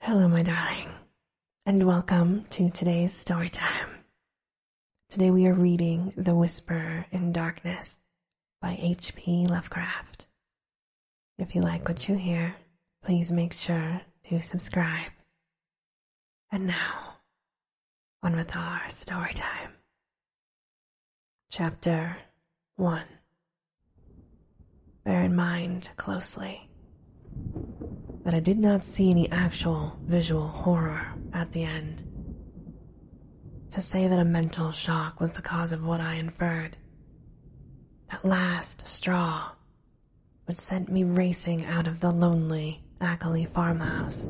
Hello, my darling, and welcome to today's storytime. Today we are reading The Whisper in Darkness by H.P. Lovecraft. If you like what you hear, please make sure to subscribe. And now, on with our storytime. Chapter 1 Bear in mind closely that I did not see any actual visual horror at the end. To say that a mental shock was the cause of what I inferred, that last straw which sent me racing out of the lonely Ackley farmhouse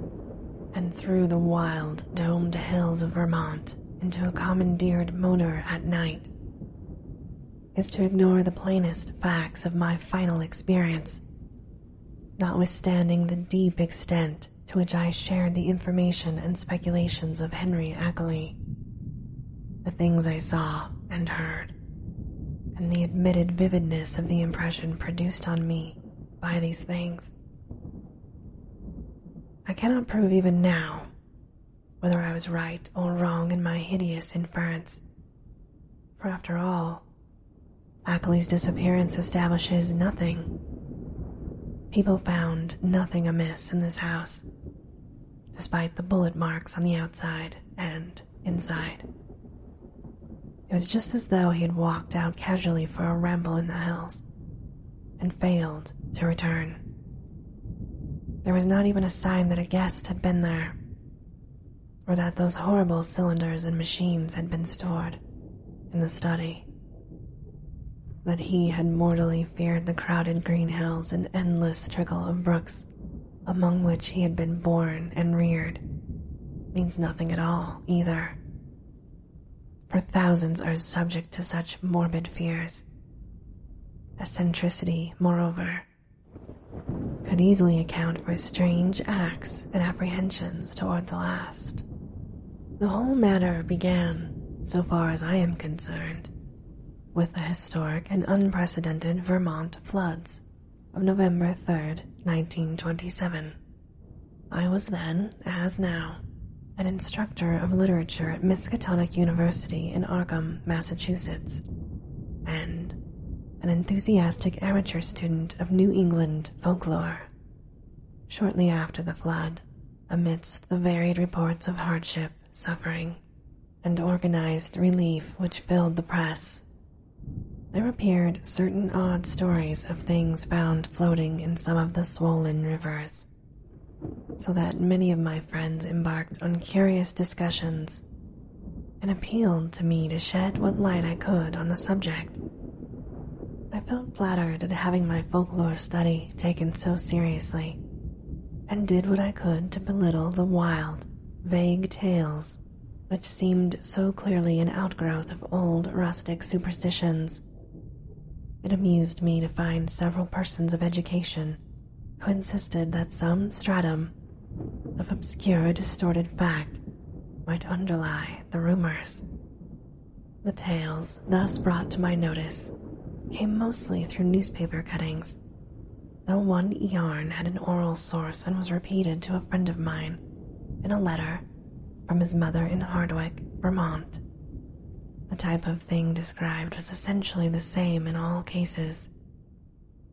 and through the wild domed hills of Vermont into a commandeered motor at night is to ignore the plainest facts of my final experience. Notwithstanding the deep extent to which I shared the information and speculations of Henry Ackley, the things I saw and heard, and the admitted vividness of the impression produced on me by these things. I cannot prove even now whether I was right or wrong in my hideous inference. For after all, Ackley's disappearance establishes nothing. People found nothing amiss in this house, despite the bullet marks on the outside and inside. It was just as though he had walked out casually for a ramble in the hills, and failed to return. There was not even a sign that a guest had been there, or that those horrible cylinders and machines had been stored in the study. That he had mortally feared the crowded green hills and endless trickle of brooks among which he had been born and reared means nothing at all either. For thousands are subject to such morbid fears Eccentricity, moreover, could easily account for strange acts and apprehensions toward the last. The whole matter began, so far as I am concerned, with the historic and unprecedented Vermont floods of November 3, 1927. I was then, as now, an instructor of literature at Miskatonic University in Arkham, Massachusetts, and an enthusiastic amateur student of New England folklore. Shortly after the flood, amidst the varied reports of hardship, suffering, and organized relief which filled the press, there appeared certain odd stories of things found floating in some of the swollen rivers so that many of my friends embarked on curious discussions and appealed to me to shed what light I could on the subject. I felt flattered at having my folklore study taken so seriously and did what I could to belittle the wild, vague tales which seemed so clearly an outgrowth of old rustic superstitions it amused me to find several persons of education who insisted that some stratum of obscure, distorted fact might underlie the rumors. The tales thus brought to my notice came mostly through newspaper cuttings, though one yarn had an oral source and was repeated to a friend of mine in a letter from his mother in Hardwick, Vermont. The type of thing described was essentially the same in all cases,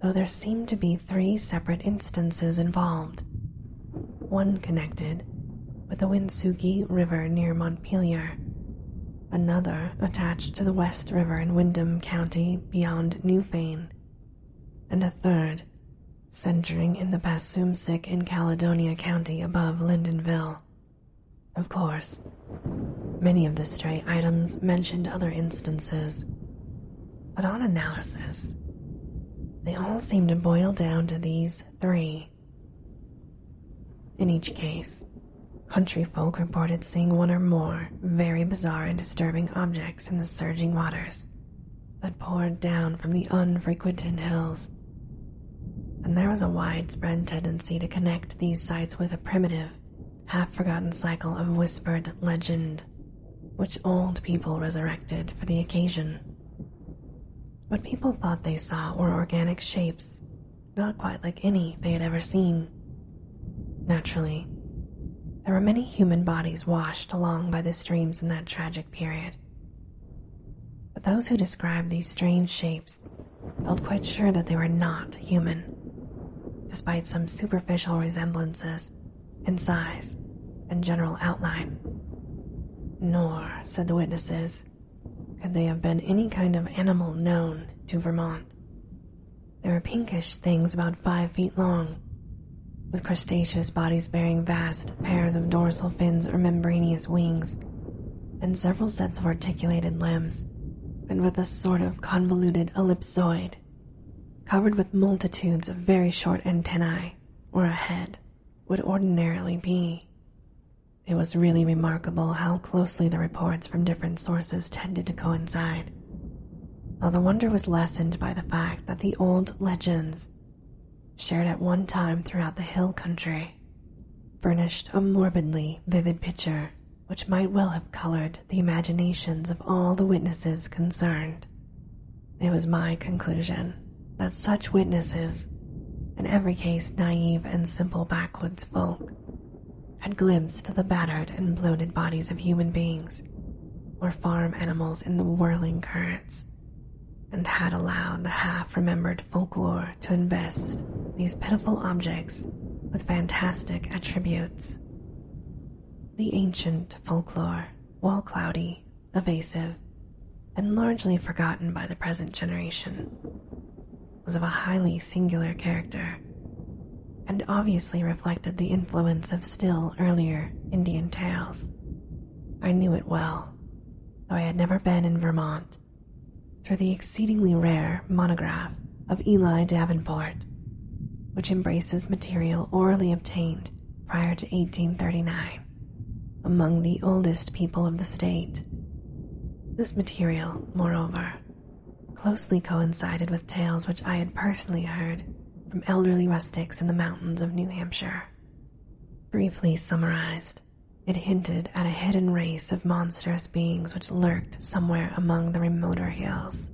though there seemed to be three separate instances involved. One connected with the Winsugi River near Montpelier, another attached to the West River in Windham County beyond Newfane, and a third centering in the Passoumsic in Caledonia County above Lindenville, of course. Many of the stray items mentioned other instances, but on analysis, they all seemed to boil down to these three. In each case, country folk reported seeing one or more very bizarre and disturbing objects in the surging waters that poured down from the unfrequented hills and there was a widespread tendency to connect these sights with a primitive, half forgotten cycle of whispered legend, which old people resurrected for the occasion. What people thought they saw were organic shapes, not quite like any they had ever seen. Naturally, there were many human bodies washed along by the streams in that tragic period, but those who described these strange shapes felt quite sure that they were not human, despite some superficial resemblances in size and general outline. Nor, said the witnesses, could they have been any kind of animal known to Vermont. They were pinkish things about five feet long, with crustaceous bodies bearing vast pairs of dorsal fins or membranous wings and several sets of articulated limbs, and with a sort of convoluted ellipsoid, covered with multitudes of very short antennae, or a head would ordinarily be. It was really remarkable how closely the reports from different sources tended to coincide. Though the wonder was lessened by the fact that the old legends shared at one time throughout the hill country, furnished a morbidly vivid picture which might well have colored the imaginations of all the witnesses concerned. It was my conclusion that such witnesses, in every case naive and simple backwoods folk, had glimpsed the battered and bloated bodies of human beings or farm animals in the whirling currents and had allowed the half-remembered folklore to invest these pitiful objects with fantastic attributes. The ancient folklore, while cloudy, evasive, and largely forgotten by the present generation, was of a highly singular character and obviously reflected the influence of still earlier Indian tales I knew it well, though I had never been in Vermont, through the exceedingly rare monograph of Eli Davenport, which embraces material orally obtained prior to 1839 among the oldest people of the state. This material, moreover, closely coincided with tales which I had personally heard from elderly rustics in the mountains of New Hampshire. Briefly summarized, it hinted at a hidden race of monstrous beings which lurked somewhere among the remoter hills,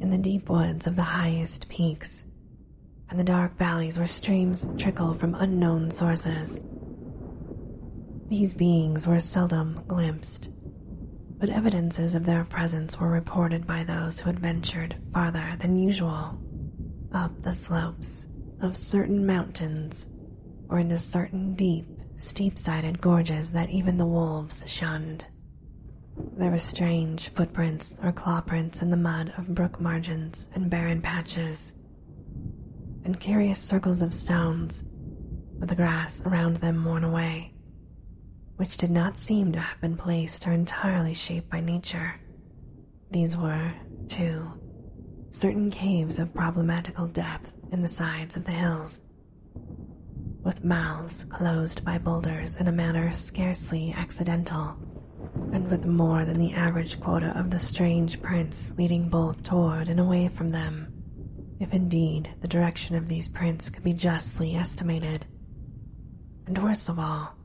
in the deep woods of the highest peaks, and the dark valleys where streams trickle from unknown sources. These beings were seldom glimpsed, but evidences of their presence were reported by those who had ventured farther than usual up the slopes of certain mountains or into certain deep, steep sided gorges that even the wolves shunned. There were strange footprints or claw prints in the mud of brook margins and barren patches, and curious circles of stones, with the grass around them worn away, which did not seem to have been placed or entirely shaped by nature, these were, too, certain caves of problematical depth in the sides of the hills, with mouths closed by boulders in a manner scarcely accidental, and with more than the average quota of the strange prints leading both toward and away from them, if indeed the direction of these prints could be justly estimated. And worst of all,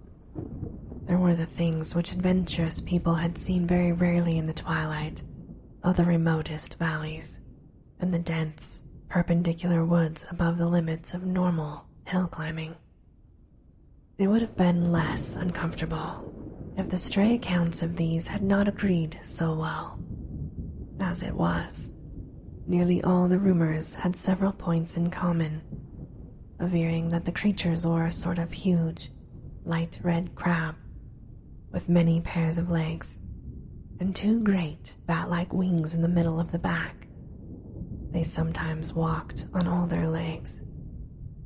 there were the things which adventurous people had seen very rarely in the twilight of the remotest valleys and the dense, perpendicular woods above the limits of normal hill climbing. It would have been less uncomfortable if the stray accounts of these had not agreed so well. As it was, nearly all the rumors had several points in common, averring that the creatures were a sort of huge, light red crab with many pairs of legs and two great bat like wings in the middle of the back. They sometimes walked on all their legs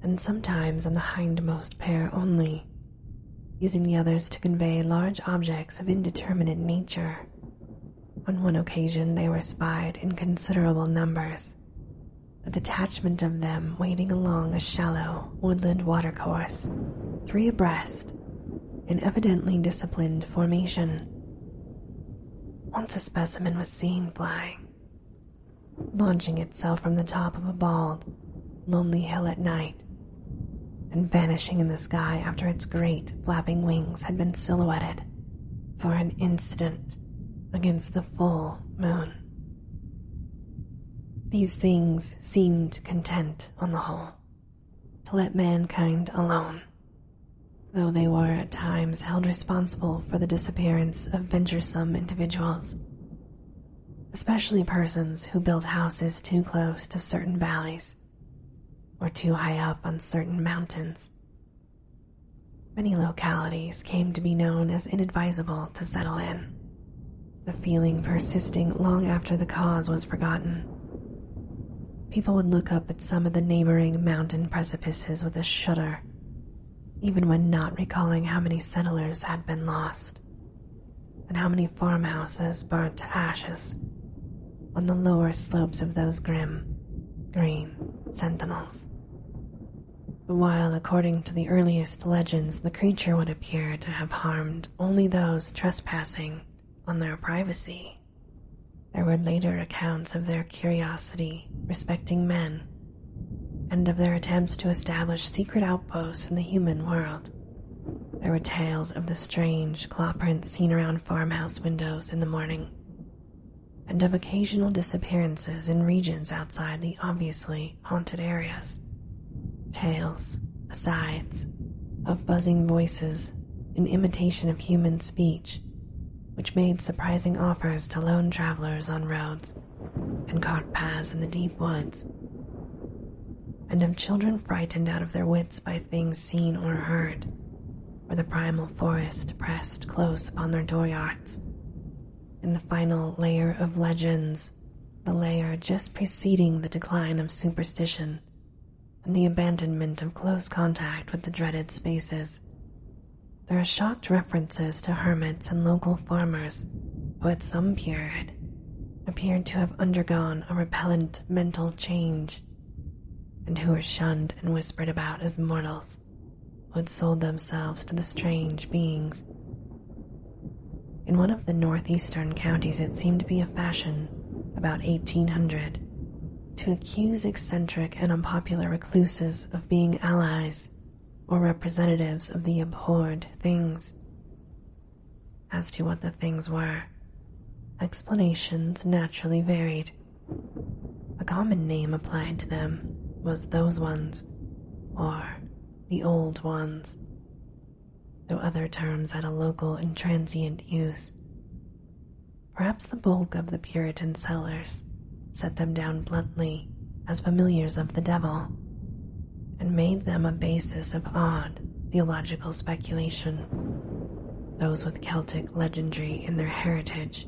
and sometimes on the hindmost pair only, using the others to convey large objects of indeterminate nature. On one occasion, they were spied in considerable numbers a detachment of them wading along a shallow woodland watercourse, three abreast, in evidently disciplined formation. Once a specimen was seen flying, launching itself from the top of a bald, lonely hill at night, and vanishing in the sky after its great flapping wings had been silhouetted for an instant against the full moon. These things seemed content, on the whole, to let mankind alone, though they were at times held responsible for the disappearance of venturesome individuals, especially persons who built houses too close to certain valleys or too high up on certain mountains Many localities came to be known as inadvisable to settle in, the feeling persisting long after the cause was forgotten. People would look up at some of the neighboring mountain precipices with a shudder, even when not recalling how many settlers had been lost and how many farmhouses burnt to ashes on the lower slopes of those grim, green, sentinels. While, according to the earliest legends, the creature would appear to have harmed only those trespassing on their privacy, there were later accounts of their curiosity respecting men and of their attempts to establish secret outposts in the human world. There were tales of the strange claw prints seen around farmhouse windows in the morning, and of occasional disappearances in regions outside the obviously haunted areas. Tales, asides, of buzzing voices in imitation of human speech, which made surprising offers to lone travelers on roads and caught paths in the deep woods, and of children frightened out of their wits by things seen or heard, where the primal forest pressed close upon their dooryards. In the final layer of legends, the layer just preceding the decline of superstition and the abandonment of close contact with the dreaded spaces, there are shocked references to hermits and local farmers who, at some period, appeared to have undergone a repellent mental change and who were shunned and whispered about as mortals who had sold themselves to the strange beings. In one of the northeastern counties, it seemed to be a fashion about 1800 to accuse eccentric and unpopular recluses of being allies or representatives of the abhorred things. As to what the things were, explanations naturally varied. A common name applied to them was those ones, or the old ones, though other terms had a local and transient use. Perhaps the bulk of the Puritan sellers set them down bluntly as familiars of the devil and made them a basis of odd theological speculation those with Celtic legendry in their heritage,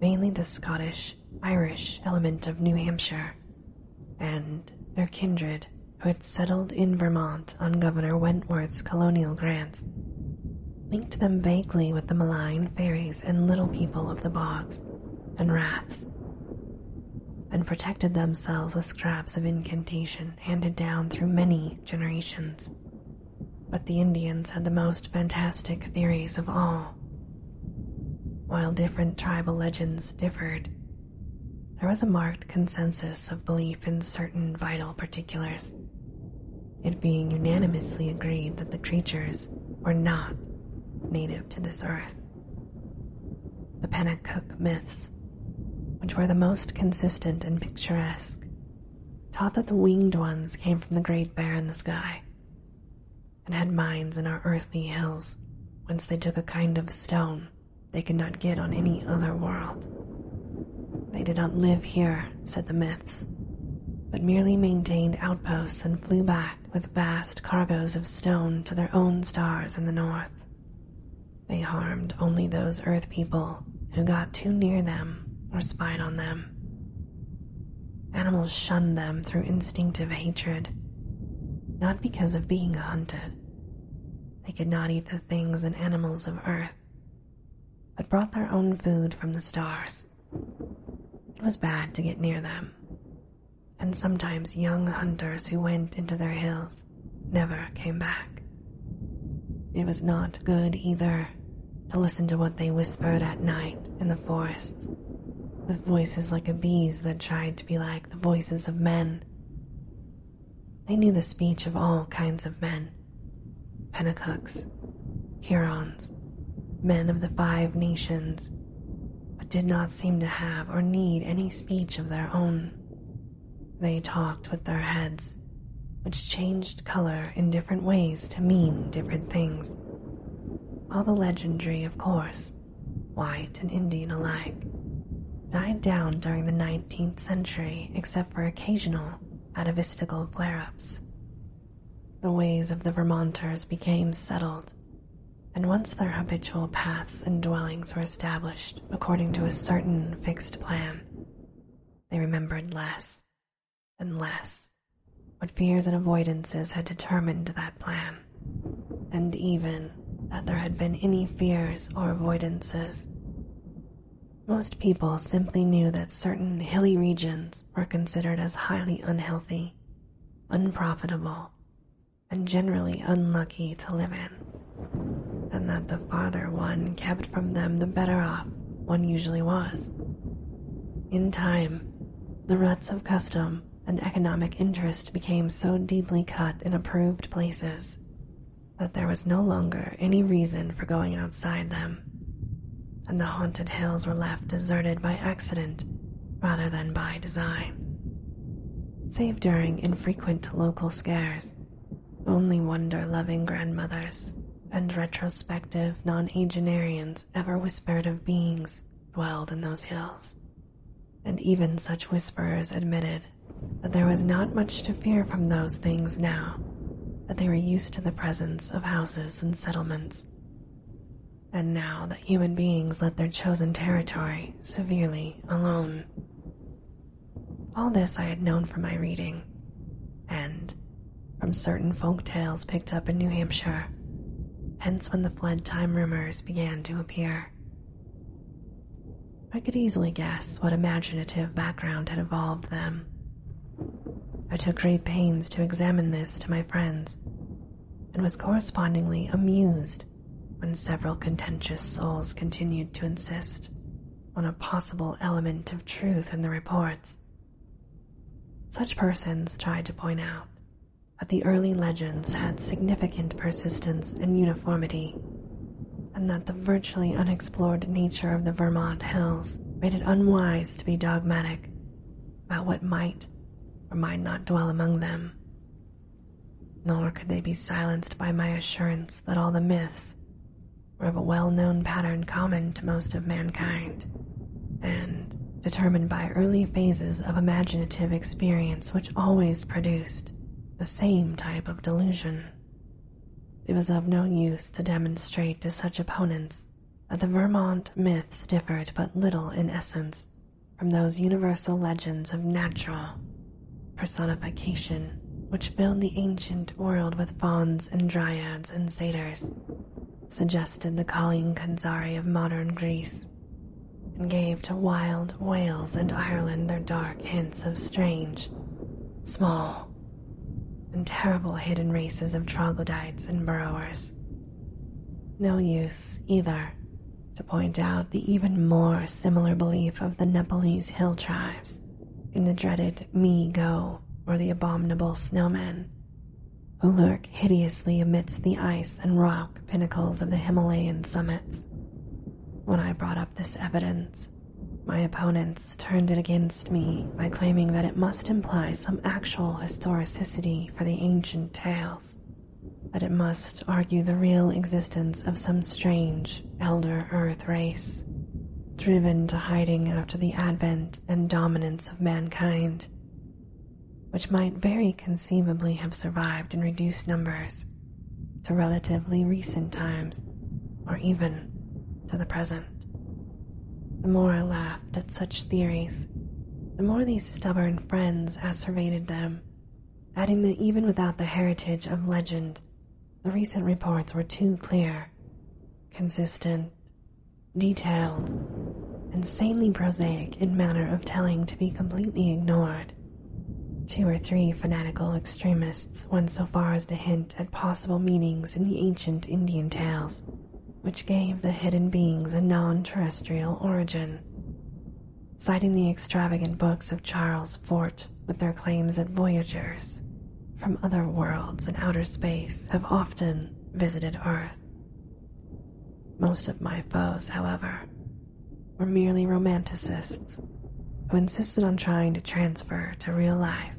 mainly the Scottish Irish element of New Hampshire, and their kindred who had settled in Vermont on Governor Wentworth's colonial grants, linked them vaguely with the malign fairies and little people of the bogs and rats, and protected themselves with scraps of incantation handed down through many generations but the Indians had the most fantastic theories of all. While different tribal legends differed, there was a marked consensus of belief in certain vital particulars, it being unanimously agreed that the creatures were not native to this earth. The Penacook myths, which were the most consistent and picturesque, taught that the winged ones came from the great bear in the sky and had mines in our earthly hills whence they took a kind of stone they could not get on any other world. They did not live here, said the myths, but merely maintained outposts and flew back with vast cargoes of stone to their own stars in the north. They harmed only those Earth people who got too near them or spied on them. Animals shunned them through instinctive hatred, not because of being hunted. They could not eat the things and animals of Earth, but brought their own food from the stars. It was bad to get near them, and sometimes young hunters who went into their hills never came back. It was not good either to listen to what they whispered at night in the forests. The voices like a bee's that tried to be like the voices of men. They knew the speech of all kinds of men Pentacooks, Hurons, men of the five nations, but did not seem to have or need any speech of their own. They talked with their heads, which changed color in different ways to mean different things. All the legendry, of course, white and Indian alike, died down during the 19th century except for occasional atavistical flare ups. The ways of the Vermonters became settled, and once their habitual paths and dwellings were established according to a certain fixed plan, they remembered less and less what fears and avoidances had determined that plan, and even that there had been any fears or avoidances. Most people simply knew that certain hilly regions were considered as highly unhealthy, unprofitable, and generally unlucky to live in and that the farther one kept from them, the better off one usually was. In time, the ruts of custom and economic interest became so deeply cut in approved places that there was no longer any reason for going outside them, and the haunted hills were left deserted by accident rather than by design. Save during infrequent local scares, only wonder loving grandmothers and retrospective non Agenarians ever whispered of beings dwelled in those hills, and even such whisperers admitted that there was not much to fear from those things now that they were used to the presence of houses and settlements. And now that human beings let their chosen territory severely alone, all this I had known from my reading, and from certain folk tales picked up in New Hampshire, hence when the flood time rumors began to appear. I could easily guess what imaginative background had evolved them. I took great pains to examine this to my friends, and was correspondingly amused when several contentious souls continued to insist on a possible element of truth in the reports. Such persons tried to point out that the early legends had significant persistence and uniformity, and that the virtually unexplored nature of the Vermont hills made it unwise to be dogmatic about what might or might not dwell among them. Nor could they be silenced by my assurance that all the myths were of a well known pattern common to most of mankind, and determined by early phases of imaginative experience which always produced the same type of delusion. It was of no use to demonstrate to such opponents that the Vermont myths differed but little in essence from those universal legends of natural personification which filled the ancient world with fauns and dryads and satyrs, suggested the calling Kanzari of modern Greece, and gave to wild Wales and Ireland their dark hints of strange, small, and terrible hidden races of troglodytes and burrowers. No use, either, to point out the even more similar belief of the Nepalese hill tribes in the dreaded me go or the abominable snowmen who lurk hideously amidst the ice and rock pinnacles of the Himalayan summits. When I brought up this evidence, my opponents turned it against me by claiming that it must imply some actual historicity for the ancient tales that it must argue the real existence of some strange elder earth race, driven to hiding after the advent and dominance of mankind, which might very conceivably have survived in reduced numbers to relatively recent times or even to the present. The more I laughed at such theories, the more these stubborn friends asseverated them adding that even without the heritage of legend, the recent reports were too clear, consistent, detailed, and sanely prosaic in manner of telling to be completely ignored. Two or three fanatical extremists went so far as to hint at possible meanings in the ancient Indian tales, which gave the hidden beings a non terrestrial origin citing the extravagant books of Charles Fort with their claims that voyagers from other worlds and outer space have often visited Earth. Most of my foes, however, were merely romanticists who insisted on trying to transfer to real life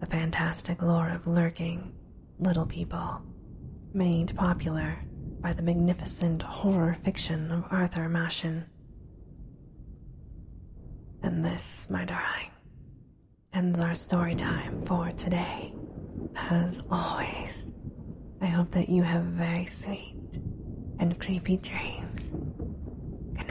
the fantastic lore of lurking little people made popular by the magnificent horror fiction of Arthur Machen. And this, my darling, ends our story time for today. As always, I hope that you have very sweet and creepy dreams. Good